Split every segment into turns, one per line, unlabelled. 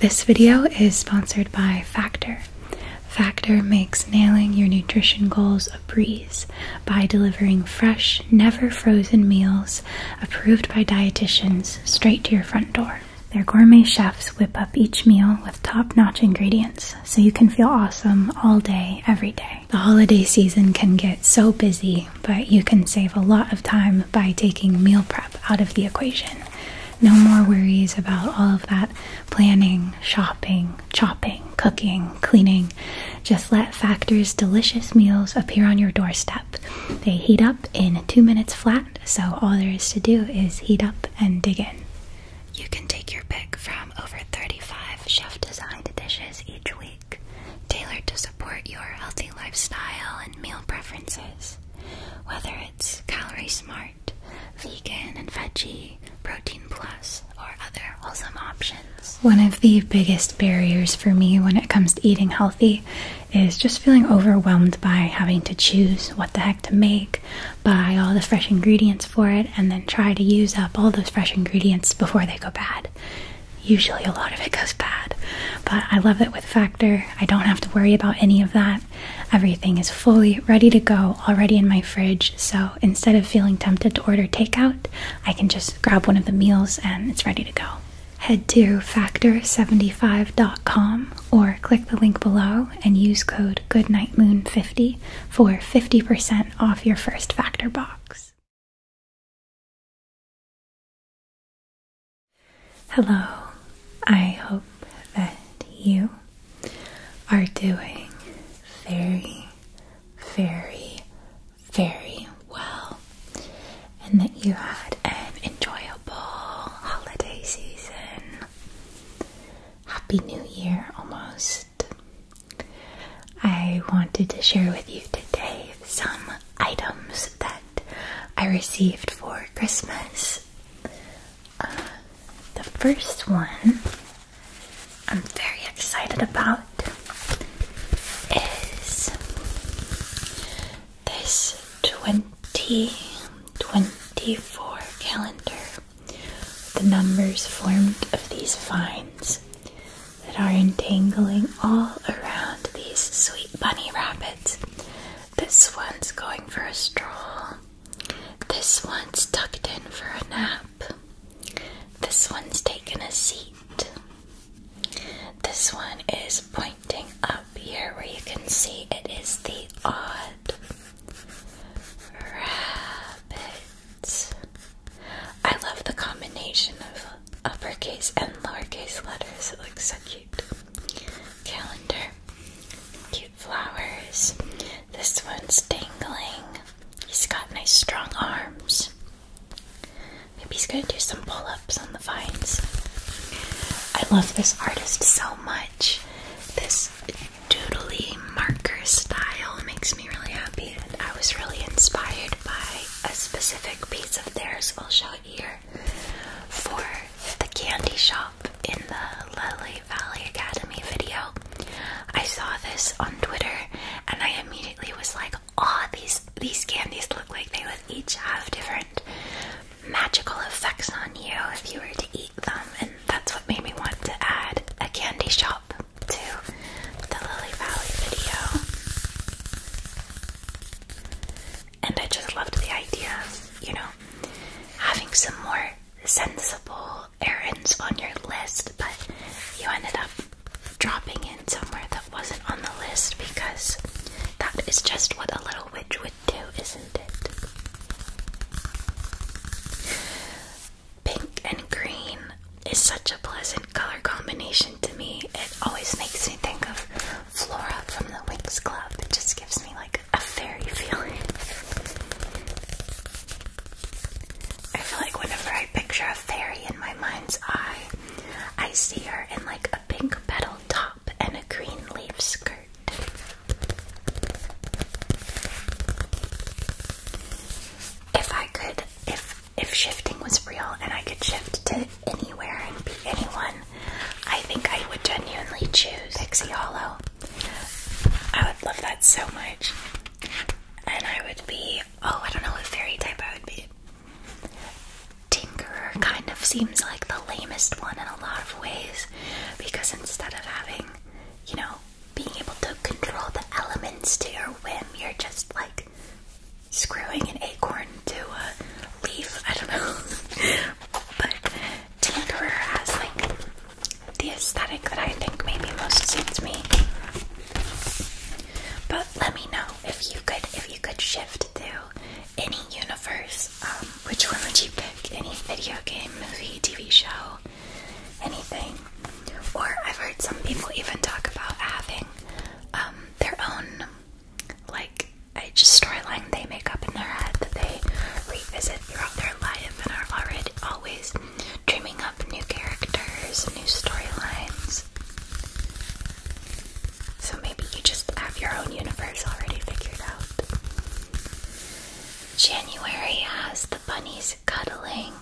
This video is sponsored by Factor. Factor makes nailing your nutrition goals a breeze by delivering fresh, never frozen meals approved by dietitians straight to your front door. Their gourmet chefs whip up each meal with top notch ingredients so you can feel awesome all day, every day. The holiday season can get so busy, but you can save a lot of time by taking meal prep out of the equation no more worries about all of that planning, shopping, chopping, cooking, cleaning. Just let Factor's delicious meals appear on your doorstep. They heat up in two minutes flat, so all there is to do is heat up and dig in. You can take your pick from over 35 chef designed dishes each week, tailored to support your healthy lifestyle and meal preferences. Whether it's Calorie Smart, Vegan and Veggie, Protein Plus, or other awesome options. One of the biggest barriers for me when it comes to eating healthy is just feeling overwhelmed by having to choose what the heck to make, buy all the fresh ingredients for it, and then try to use up all those fresh ingredients before they go bad. Usually, a lot of it goes bad, but I love it with Factor. I don't have to worry about any of that everything is fully ready to go already in my fridge. So instead of feeling tempted to order takeout, I can just grab one of the meals and it's ready to go. Head to factor75.com or click the link below and use code GoodnightMoon50 for 50% off your first Factor box. Hello, I hope that you are doing very, very, very well and that you had an enjoyable holiday season. Happy New Year almost. I wanted to share with you today some items that I received for Christmas. Uh, the first one I'm very excited about is this 2024 calendar. The numbers formed of these vines that are entangling all around these sweet bunny rabbits this one's going for a stroll. This one's tucked in for a nap. This one's taken a seat. This one is pointing up here where you can see it is the odd rabbit. I love the combination of uppercase and lowercase letters, it looks so cute cute calendar, cute flowers. This one's dangling. He's got nice strong arms. Maybe he's gonna do some pull ups on the vines. I love this artist so much. This doodly marker style makes me really happy, and I was really inspired by a specific piece of theirs. I'll show it here for the candy shop in the Lily Valley Academy video. I saw this on Twitter and I immediately was like, oh these these candies look like they would each have different magical effects on you if you were to eat them and that's what made me want to add a candy shop to the Lily Valley video. And I just loved the idea of, you know, having some more sensible errands on your list, but you ended up dropping in somewhere that wasn't on the list because that is just what a little witch would do, isn't it? Pink and green is such a pleasant color combination to me. It always makes me think of Flora from the Wings Club. It just gives me like a fairy feeling. I feel like whenever I picture a fairy in my mind's eye, I see her in like a pink petal top and a green leaf skirt. If I could, if if shifting was real and I could shift to anywhere and be anyone, I think I would genuinely choose Pixie Hollow. I would love that so much. And I would be, oh, I don't know what fairy type I would be. Tinkerer kind of seems like the lamest one in a lot of ways because instead of having, you know, being able to control the elements to your whim, you're just like screwing an acorn to a leaf. I don't know. but Tinkerer has like the aesthetic that I think maybe most suits me. But let me know if you could if you could shift to any universe. Um, which one would you pick? Any video game, movie, TV show, anything? Or I've heard some people even talk about having um, their own like I just storyline they make up in their head that they revisit throughout their life and are already always dreaming up new characters, new storylines. So maybe you just have your own universe already figured out. January has the bunnies cuddling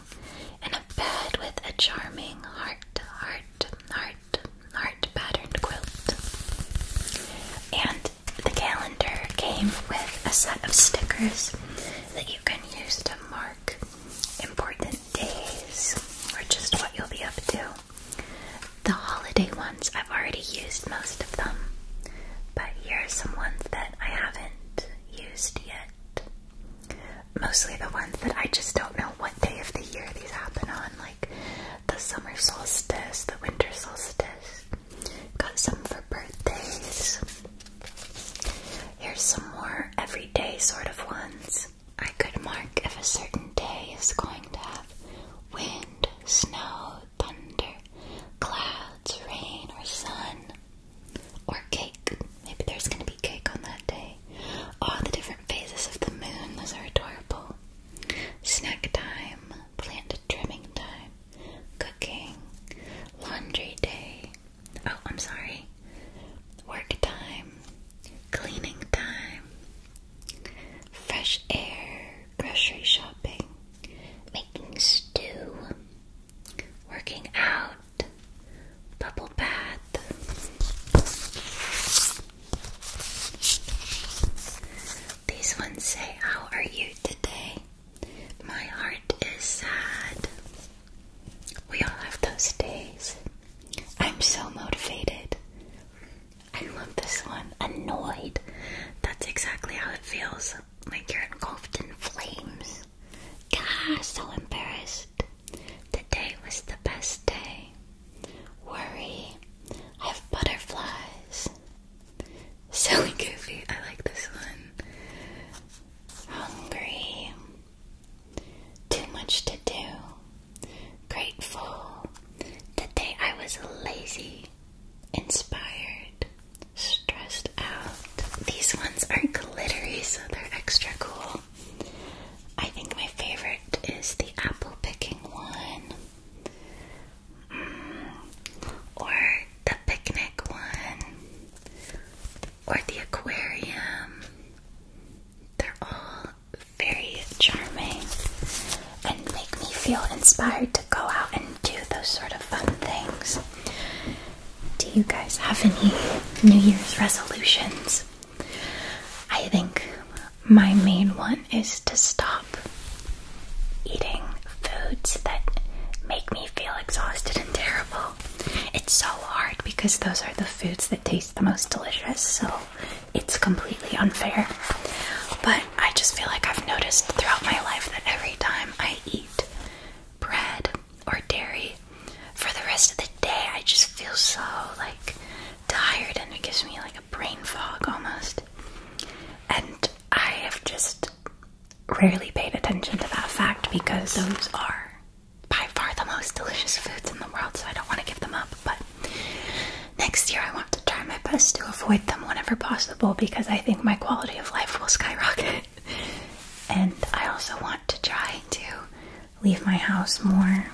in a bed with a charming heart heart heart heart patterned quilt. And the calendar came with a set of stickers that you can use to mark important days or just what you'll be up to. The holiday ones, I've already used most of them, but here are some ones that I haven't used yet. Mostly the ones that I just don't know what day of the year these happen on, like the summer solstice, the winter solstice. Got some for birthdays. Here's some more everyday sort of ones. I could mark if a certain day is going to have wind, snow, thunder, clouds, rain, or sun. Or cake. Maybe there's going to be cake on that day. All the different phases of the moon. Those are adorable snack time, plant trimming time, cooking, laundry day. Oh, I'm sorry. Work time, cleaning time, fresh air, grocery shopping, making stew, working out, bubble bath. These ones say, How are you today? My heart is sad. We all have those days. I'm so motivated. I love this one. Annoyed. That's exactly how it feels. Like you're engulfed in flames. God, so embarrassed. Today was the best day. Worry. I have butterflies. So goofy. I like this one. Hungry. Too much to do. Grateful. The day I was lazy. Inspired. Stressed out. These ones are glittery, so they're extra cool. I think my favorite is the apple picking one, mm. or the picnic one, or the aquarium. They're all very charming and make me feel inspired to go out and do those sort of fun things. Do you guys have any New Year's resolutions? I think my main one is to stop eating foods that make me feel exhausted and terrible. It's so hard because those are the foods that taste the most delicious, so it's completely unfair. But I just feel like I've noticed throughout my life that every time I eat bread or dairy, for the rest of the day, I just feel so like tired and it gives me like a brain fog almost. And I have just rarely paid attention to that fact because those are by far the most delicious foods in the world, so I don't want to give them up. But next year, I want to try my best to avoid them whenever possible because I think my quality of life will skyrocket. and I also want to try to leave my house more.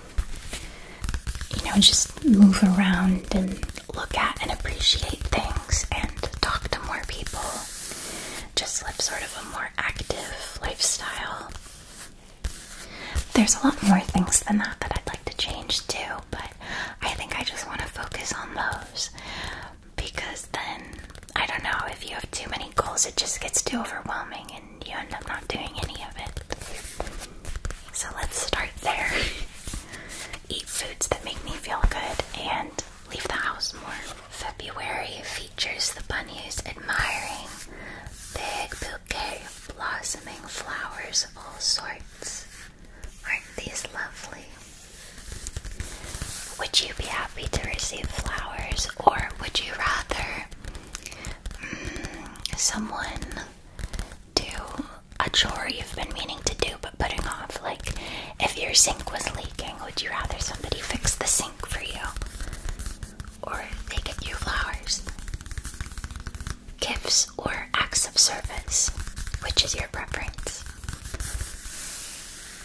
You know, just move around and look at and appreciate things and talk to more people. Just live sort of a more active lifestyle. There's a lot more things than that that I'd like to change too, but I think I just want to focus on those because then I don't know if you have too many goals, it just gets too overwhelming and and you end up not doing any of it. So let's start there. Eat foods that make me feel good and leave the house more. February features the bunnies admiring big bouquet of blossoming flowers of all sorts. Aren't these lovely? Would you be happy to receive flowers, or would you rather Mm, someone do a chore you've been meaning to do but putting off. Like, if your sink was leaking, would you rather somebody fix the sink for you? Or they get you flowers? Gifts or acts of service? Which is your preference?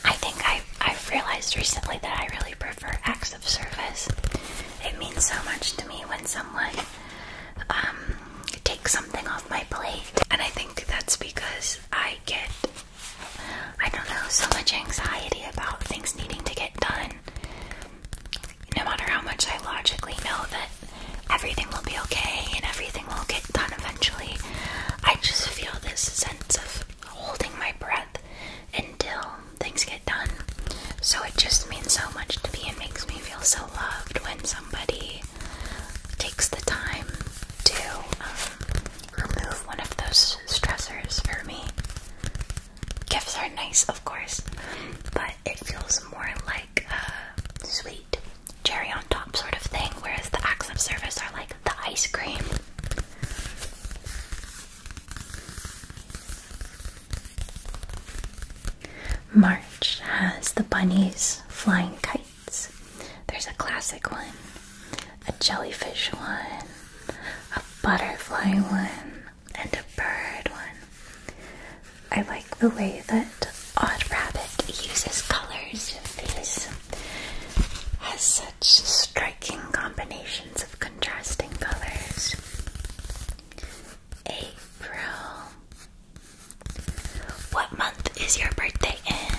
I think I've, I've realized recently that I really actually prefer acts of service. It means so much to me when someone um, takes something off my plate, and I think that's because I get, I don't know, so much anxiety about things needing to get done. No matter how much I logically know that everything will be okay and everything will get done eventually, I just feel this sense of holding my breath until things get done. So it just means so much to me and makes me feel so loved when somebody takes the time to um, remove one of those stressors for me. Gifts are nice, of course, but it feels more like a sweet cherry on top sort of thing, whereas the acts of service are like the ice cream. March has the bunnies flying kites. There's a classic one, a jellyfish one, a butterfly one, and a bird one. I like the way that Odd Rabbit uses colors in these. Has such striking combinations of contrasting colors. April. What month is your birthday in?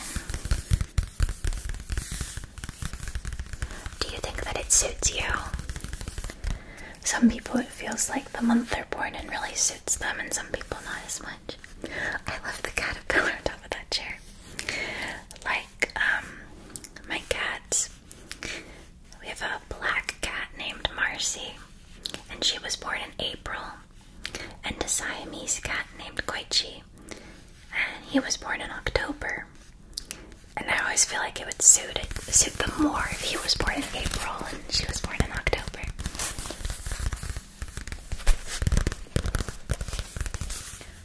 Do you think that it suits you? Some people it feels like the month they're born in really suits them, and some people not as much. I love the caterpillar on top of that chair. Like, um, my cats we have a black cat named Marcy, and she was born in April, and a Siamese cat named Koichi, and he was born in October. And I always feel like it would suit it, suit them more if he was born in April and she was born in October.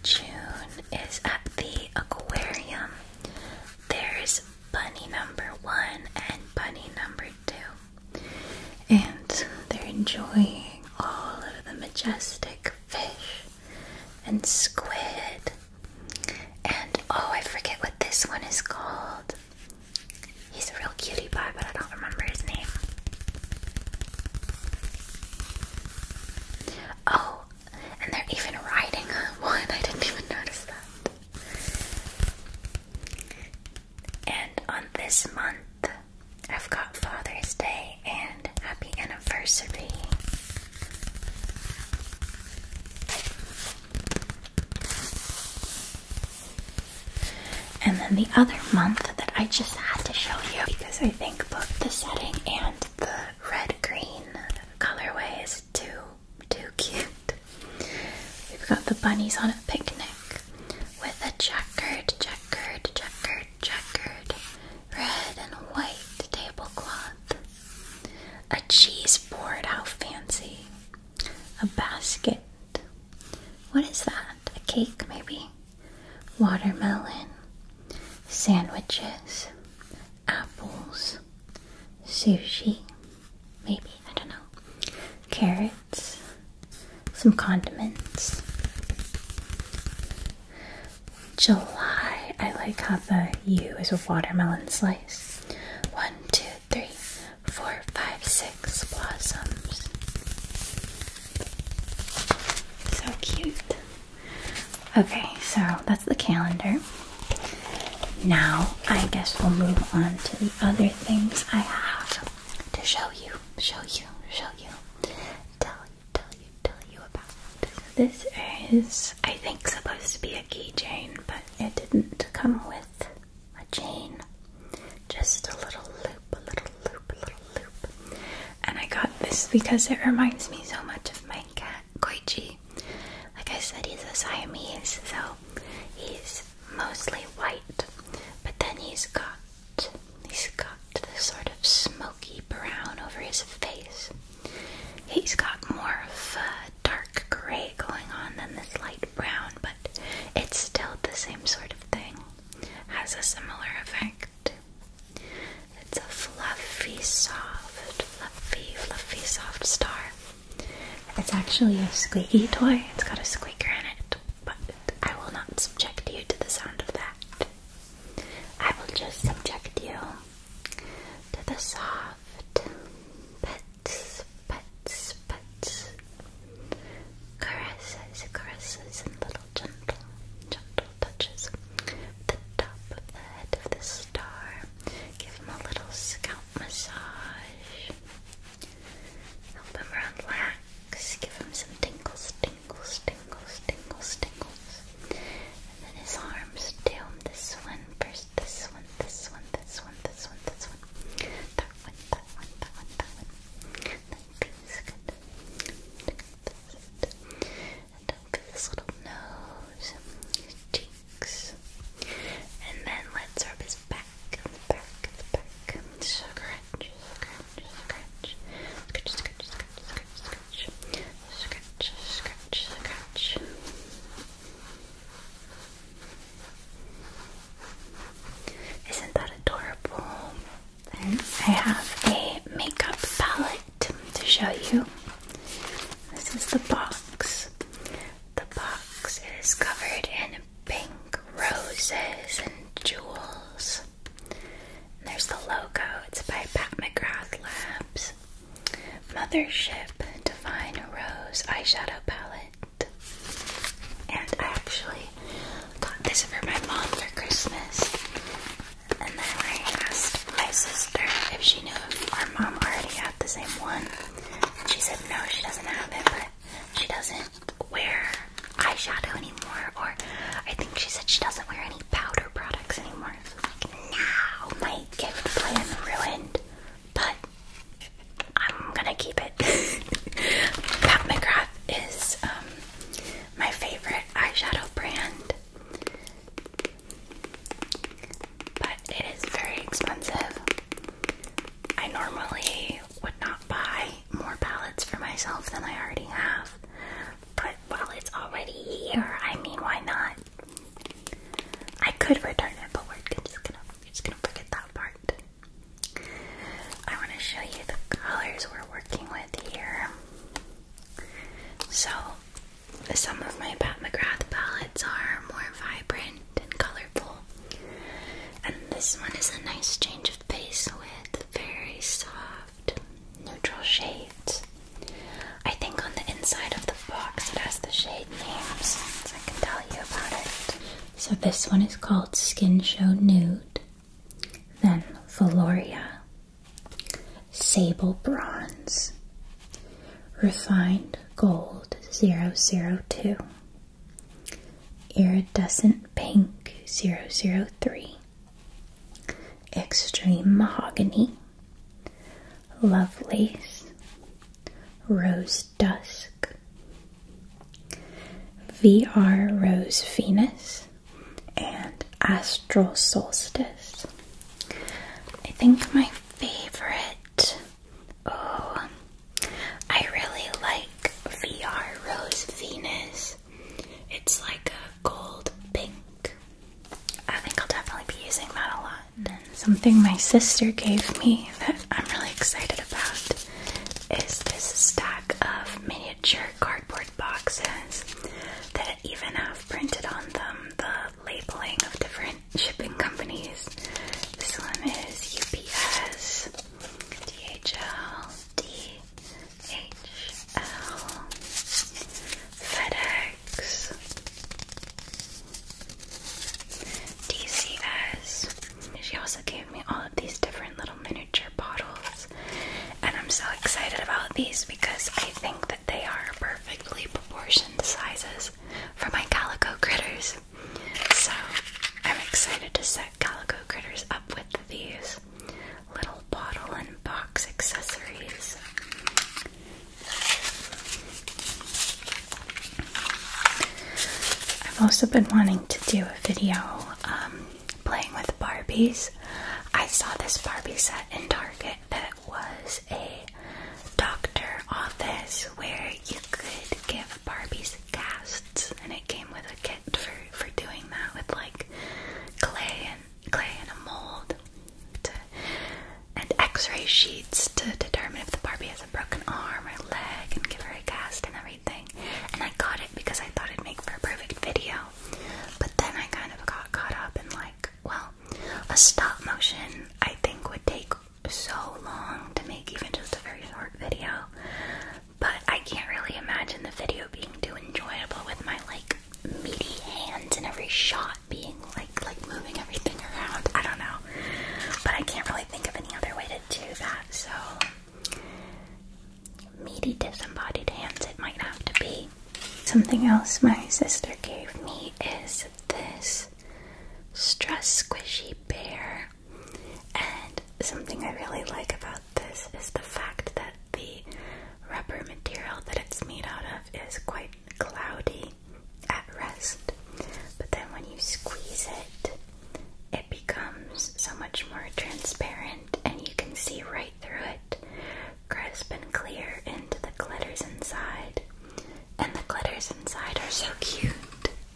June is at the aquarium, there's bunny number one and bunny number two, and they're enjoying all of the majestic fish and squid. And oh, I forget what this one is called. He's a real cutie pie, but I don't remember his name. Oh, and they're even riding one. I didn't even notice that. And on this month, I've got Father's Day and Happy Anniversary. And then the other month that I just had to show you because I think both the setting and the red green colorways too too cute. We've got the bunnies on a picnic with a checkered, checkered, checkered, checkered red and white tablecloth. A cheese board, how fancy. A basket. What is that? A cake, maybe? Watermelon. Sandwiches apples, sushi, maybe, I don't know, carrots, some condiments. July, I like how the U is a watermelon slice. One, two, three, four, five, six blossoms. So cute. Okay, so that's the calendar. Now, I guess we'll move on to the other things I have to show you, show you, show you, tell you, tell you, tell you about. this is, I think, supposed to be a keychain, but
it didn't
come with a chain. Just a little loop, a little loop, a little loop. And I got this because it reminds me so much of my cat, Koichi like I said, he's a Siamese, so he's mostly white, but then he's got he's got this sort of smoky brown over his face. He's got more of a dark gray going on than this light brown, but it's still the same sort of thing. Has a similar effect. It's a fluffy, soft, fluffy, fluffy, soft star. It's actually a squeaky toy. It's got a squeaker in it, but I will not subject you to the sound of that. I will just subject you to the soft pets, pets, pets, caresses, caresses, and little gentle, gentle touches the top of the head of the star. Give him a little scalp massage. Help him relax. Give him some tingles, tingles, tingles, tingles, tingles. And then his arms too. This one first, this one, this one, this one, this one, this one. That one, that one, that one, that one. That feels good and over this little nose, his cheeks, and then let's rub his back, the back, the back. Scratch, scratch, scratch, scratch, scratch, scratch, scratch, scratch, scratch, scratch. Isn't that adorable? Then I have a makeup palette to show you. This is the box. The box is covered in pink roses and jewels. there's the logo. It's by Pat McGrath Labs. Mothership Divine Rose Eyeshadow Palette. And I actually got this for my mom for Christmas. And then I asked my sister if she knew if our mom already had the same one. And she said no, she doesn't have it, but she doesn't wear eyeshadow anymore. Or I think she said she doesn't wear any powder products anymore. So I'm like, now my gift plan ruined. But I'm gonna keep it. Pat McGrath is um, my favorite eyeshadow brand. But it is very expensive. I normally would not buy more palettes for myself than I already have. But while it's already here, I mean, why not? I could return it, but we're just gonna, we're just gonna forget that part. I want to show you the colors we're working with here. So some of my Pat McGrath palettes are more vibrant and colorful, and this one is a nice change of pace with very soft, neutral shades. I think on the inside of the box it has the shade names, so I can tell you about it. So this one is called Skin Show Nude, then Valoria, Sable Bronze, Refined Gold 002, Iridescent Pink 003, Extreme Mahogany, Lovelace, Rose Dusk, VR Rose Venus, and astro Solstice. I think my favorite. Oh, I really like VR Rose Venus. It's like a gold pink. I think I'll definitely be using that a lot. something my sister gave me that I'm really excited about is this stack of miniature cardboard boxes that even have printed on them the labeling of different shipping companies. This one is UPS, DHL, DHL, FedEx, DCS. She also gave me all of these different little miniature bottles and I'm so excited about these because I think that they are perfectly proportioned sizes for my calico critters. So I'm excited to set calico critters up with these little bottle and box accessories. I've also been wanting to do a video um, playing with Barbies. I saw this Barbie set in Target that it was a doctor office where you could give Barbies casts, and it came with a kit for for doing that with like clay and clay and a mold, and X-ray sheets to determine if the Barbie has a broken arm or leg, and give her a cast and everything. And I got it because I thought it'd make for a perfect video. But then I kind of got caught up in like, well, a stop motion I think would take so long to make even just a very short video. But I can't really imagine the video being too enjoyable with my like meaty hands and every shot being like like moving everything around. I don't know. But I can't really think of any other way to do that, so meaty disembodied hands it might have to be Something else my sister gave me is this stress squishy bear. And something I really like about this is the fact that the rubber material that it's made out of is quite cloudy at rest. But then when you squeeze it, it becomes so much more transparent and you can see right through it crisp and clear into the glitters inside. And the glitters inside are so cute.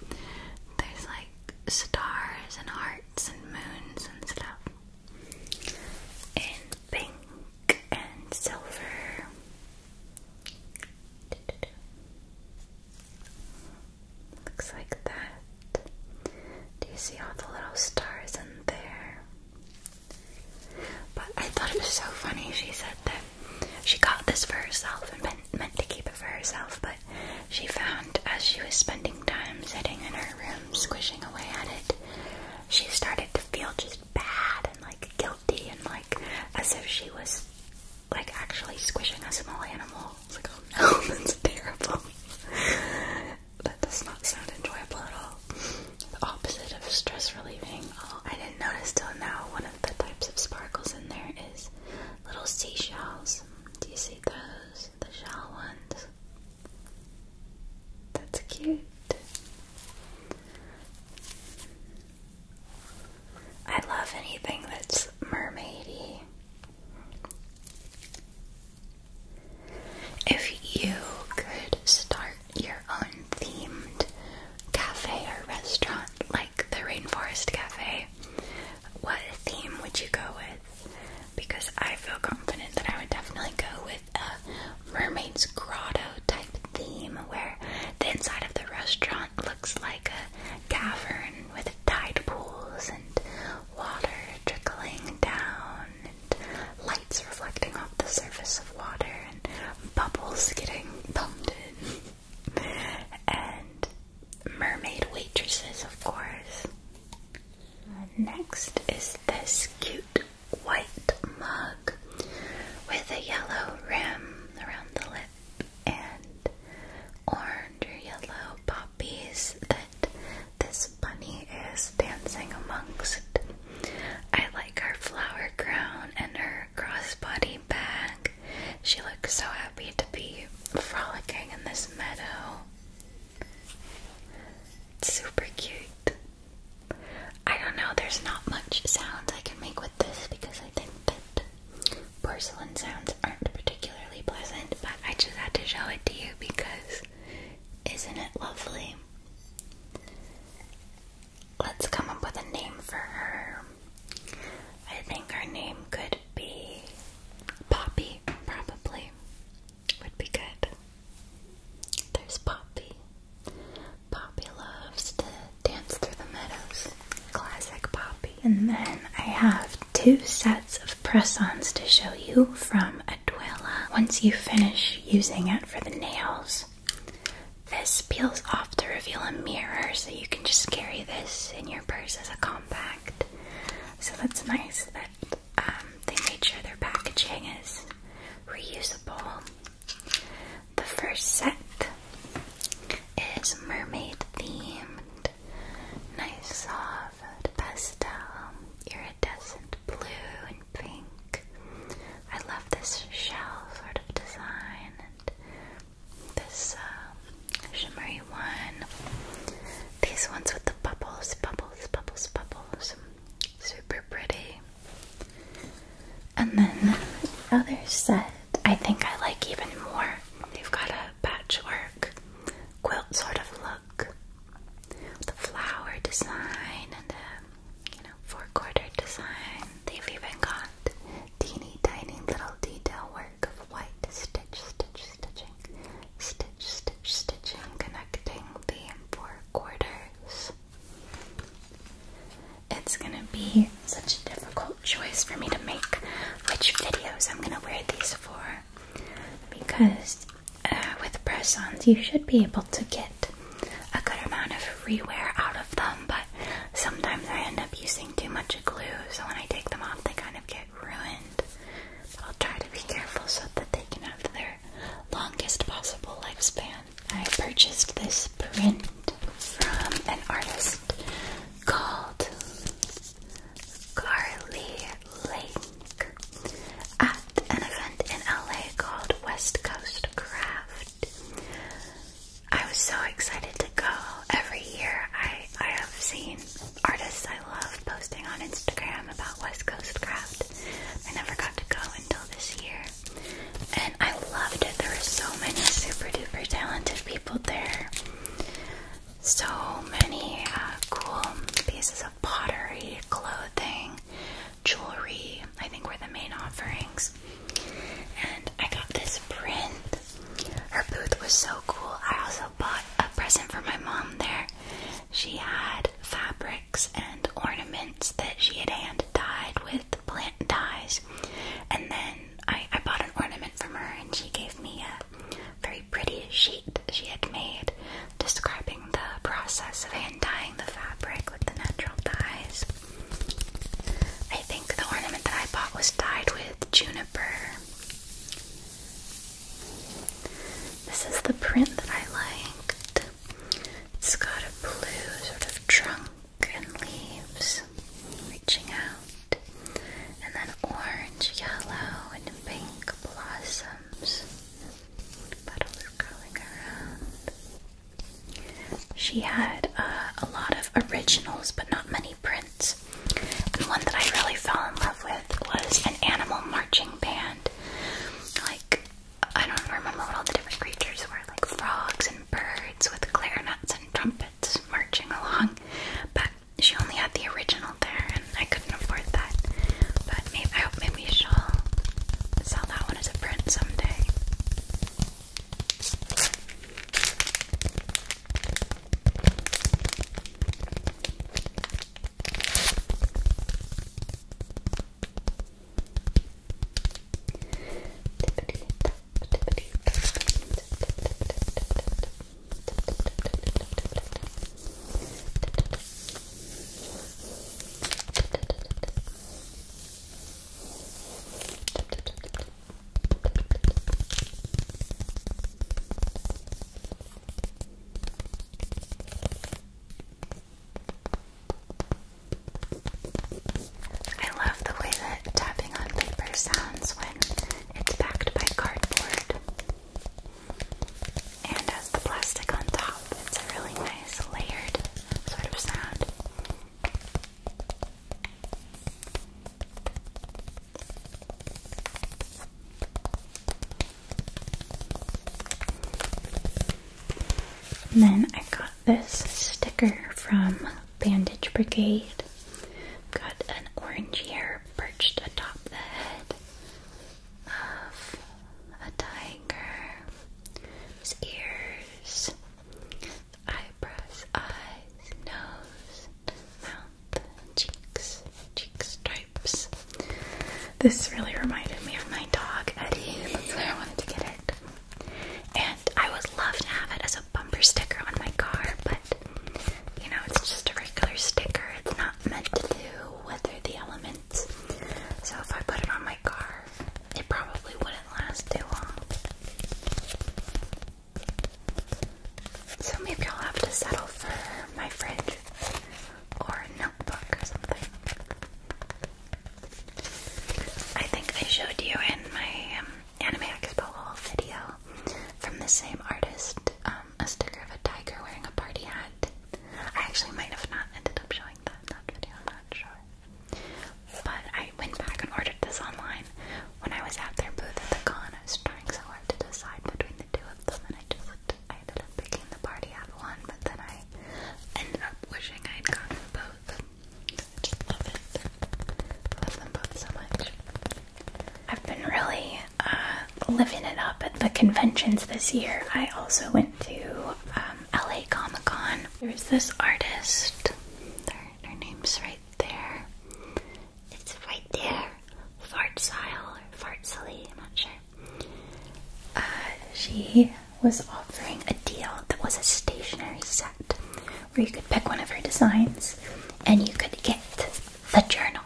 There's like stars and hearts and moons and stuff. And pink and silver. Looks like that. Do you see all the little stars in there? But I thought it was so funny. She said that she got this for herself and meant, to keep it for herself, but she found as she was spending time sitting in her room squishing away at it, she started to feel just bad and like guilty and like as if she was like actually squishing a small animal. like, oh no, that's terrible that does not sound enjoyable at all. The opposite of stress relieving. Oh, I didn't notice till now one of the types of sparkles in there is little seashells. Do you see those? The shell ones. That's cute. I love anything that's mermaidy. If you could start your own themed cafe or restaurant like the Rainforest Cafe, what theme would you go with? Because I feel confident that I would definitely go with a mermaid's grotto type theme where the inside of the restaurant looks like a cavern with tide pools and water trickling down lights reflecting off the surface of water and bubbles getting pumped in. and mermaid waitresses, of course. Next is this cute white mug with a yellow rim around the lip and orange or yellow poppies this bunny is dancing amongst. I like her flower crown and her crossbody bag. She looks so happy to be frolicking in this meadow. super cute. I don't know, there's not much sounds I can make with this because I think that porcelain sounds aren't particularly pleasant, but I just had to show it to you because isn't it lovely? Let's come up with a name for her. I think her name could be Poppy, probably. Would be good. There's Poppy. Poppy loves to dance through the meadows. Classic Poppy. And then I have two sets of press-ons to show you from Aduela. Once you finish using it for the nails, this peels off to reveal a mirror, so you can just carry this in your purse as a compact. So that's nice that um, they made sure their packaging is reusable. The first set is mermaid themed. Nice soft uh, pastel, iridescent blue and pink. I love this shell sort of design and this uh, shimmery one. These ones with the bubbles, bubbles, bubbles, bubbles. Super pretty. And then the other set, I think I like even more. They've got a patchwork quilt sort of look the flower design and the four quarter design. They've even got teeny tiny little detail work of white stitch, stitch, stitching, stitch, stitch, stitching, connecting the four quarters. It's gonna be such a difficult choice for me to make which videos I'm gonna wear these for because uh, with press-ons, you should be able to get a good amount of rewear out of them, but sometimes I end up using too much glue, so when I take them off, they kind of get ruined. I'll try to be careful so that they can have their longest possible lifespan. I purchased this print from an artist called Carly link at an event in LA called West Coast Craft. I was so excited to go. Every year I, I have seen artists I love posting on Instagram about West Coast Craft. I never got to go until this year. And I loved it. There were so many super duper talented people there. So many uh, cool pieces of pottery, clothing, jewelry, I think were the main offerings. And I got this print. Her booth was so cool. I also bought a present for my mom there. She had fabrics and ornaments that she had hand dyed with plant dyes. And then I, I bought an ornament from her and she gave me a very pretty sheet she had made describing the process of hand dyeing the fabric with the natural dyes. I think the ornament that I bought was dyed with juniper. This is the print that I like. It's got a blue sort of trunk and leaves reaching out, and then orange, yellow, and pink blossoms. She had uh, a lot of originals, but not many prints. The one that I really fell in love with was an animal marching band. Like, I don't remember what all the different creatures were, like frogs and birds with clarinets and trumpets marching along she only had the original there, and I couldn't afford that. But maybe I hope maybe she'll sell that one as a print someday. I love the way that tapping on paper sounds when it's backed by cardboard and has the plastic on top. It's a really nice layered sort of sound. then I got this sticker from Bandage Brigade. Got an orange hair perched atop the head of a tiger. ears, eyebrows, eyes, nose, mouth, cheeks, cheek stripes. This really reminded me of my dog Eddie. That's I wanted to get it. And I would love to have it as a bumper sticker on my car, but you know, it's just a regular sticker. It's not meant to weather the elements. So if I put it on my car, it probably wouldn't last too long. So maybe I'll have to settle for my fridge or a notebook or something. I think I showed you in my um, Anime Expo video from the same artist um, a sticker of a tiger wearing a party hat. I actually might have not ended up showing that that video, I'm not sure. But I went back and ordered this online when I was at their booth at the con. I was trying so hard to decide between the two of them, and I just I ended up picking the party hat one, but then I ended up wishing I had gotten both. I just love it. love them both so much. I've been really uh, living it up at the conventions this year. I also went to um, LA Comic Con. There's this artist. Her, name's right there. It's right there. Style, or Fartsily, I'm not sure. Uh, she was offering a deal that was a stationary set where you could pick one of her designs and you could get the journal,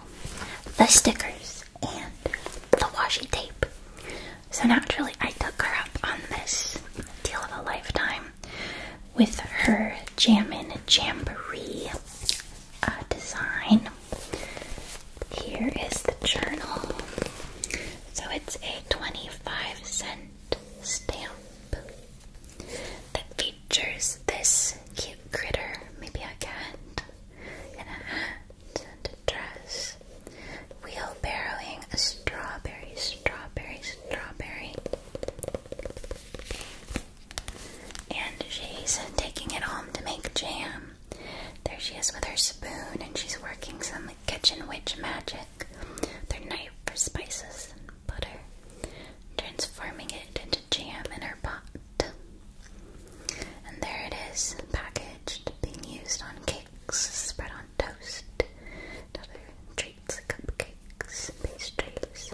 the stickers, and the washi tape. So naturally, I took her up on this deal of a lifetime with her Jammin' Jamboree uh, design. Here is the journal. So it's a 25 cent stamp that features this cute critter, maybe a cat, and a hat and a dress. Wheelbarrowing a strawberry, strawberry, strawberry. And she's taking it home to make jam. There she is with her spoon, and she's working some kitchen witch magic her knife for spices and butter, transforming it into jam in her pot. And there it is, packaged, being used on cakes, spread on toast, other treats, cupcakes, pastries.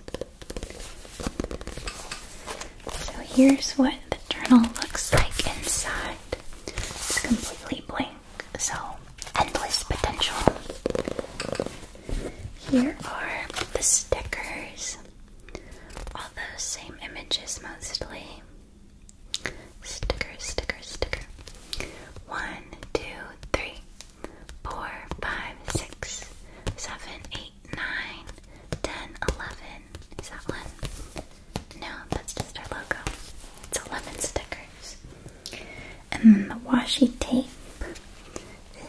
So here's what the journal looks like inside. It's completely blank, so endless potential. Here are the stickers all those same images mostly. Sticker, sticker, sticker. One, two, three, four, five, six, seven, eight, nine, ten, eleven. Is that one? No, that's just our logo. It's eleven stickers. And then the washi tape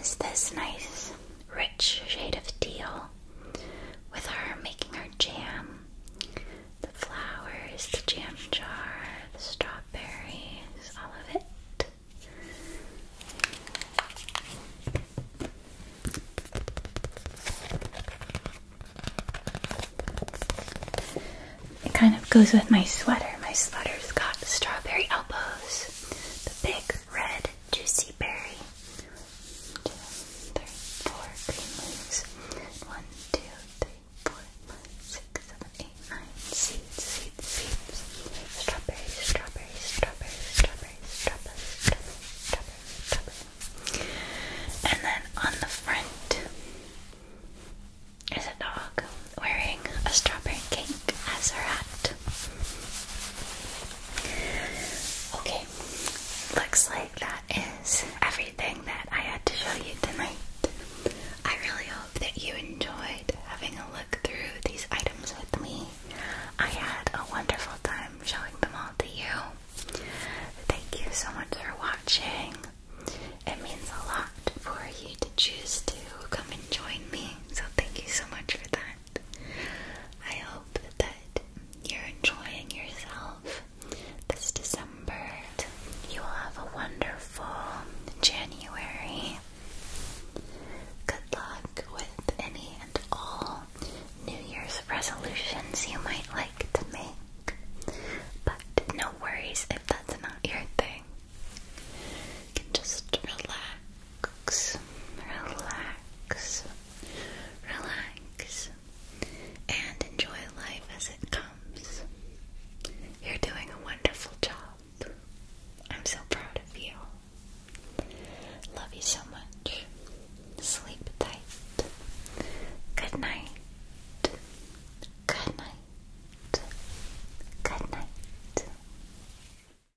is this nice rich shade of teal, with her making her jam. The flowers, the jam jar, the strawberries, all of it. It kind of goes with my sweater. My sweater's got strawberry elbows, the big red juicy berry. One, two, three, four green leaves. One, two, three, four, five, six, seven, eight, nine. Seeds, seeds, seeds. Strawberry, strawberry, strawberry, strawberry, strawberry, strawberry, strawberry, And then on the front is a dog wearing a strawberry cape pink as her hat. Okay, looks like that is everything that I had to show you tonight. I really hope that you enjoyed having a look through these items with me. I had a wonderful time showing them all to you. Thank you so much for watching. It means a lot for you to choose to come and join me. So thank you so much for that. I hope that you're enjoying yourself this December. You will have a wonderful January. Good luck with any and all New Year's resolutions you might like to make. But no worries if that's not your thing. You can just relax relax, relax, relax, and enjoy life as it comes. You're doing a wonderful job. I'm so proud of you. Love you so much. Sleep tight. Good night. Good night. Good night.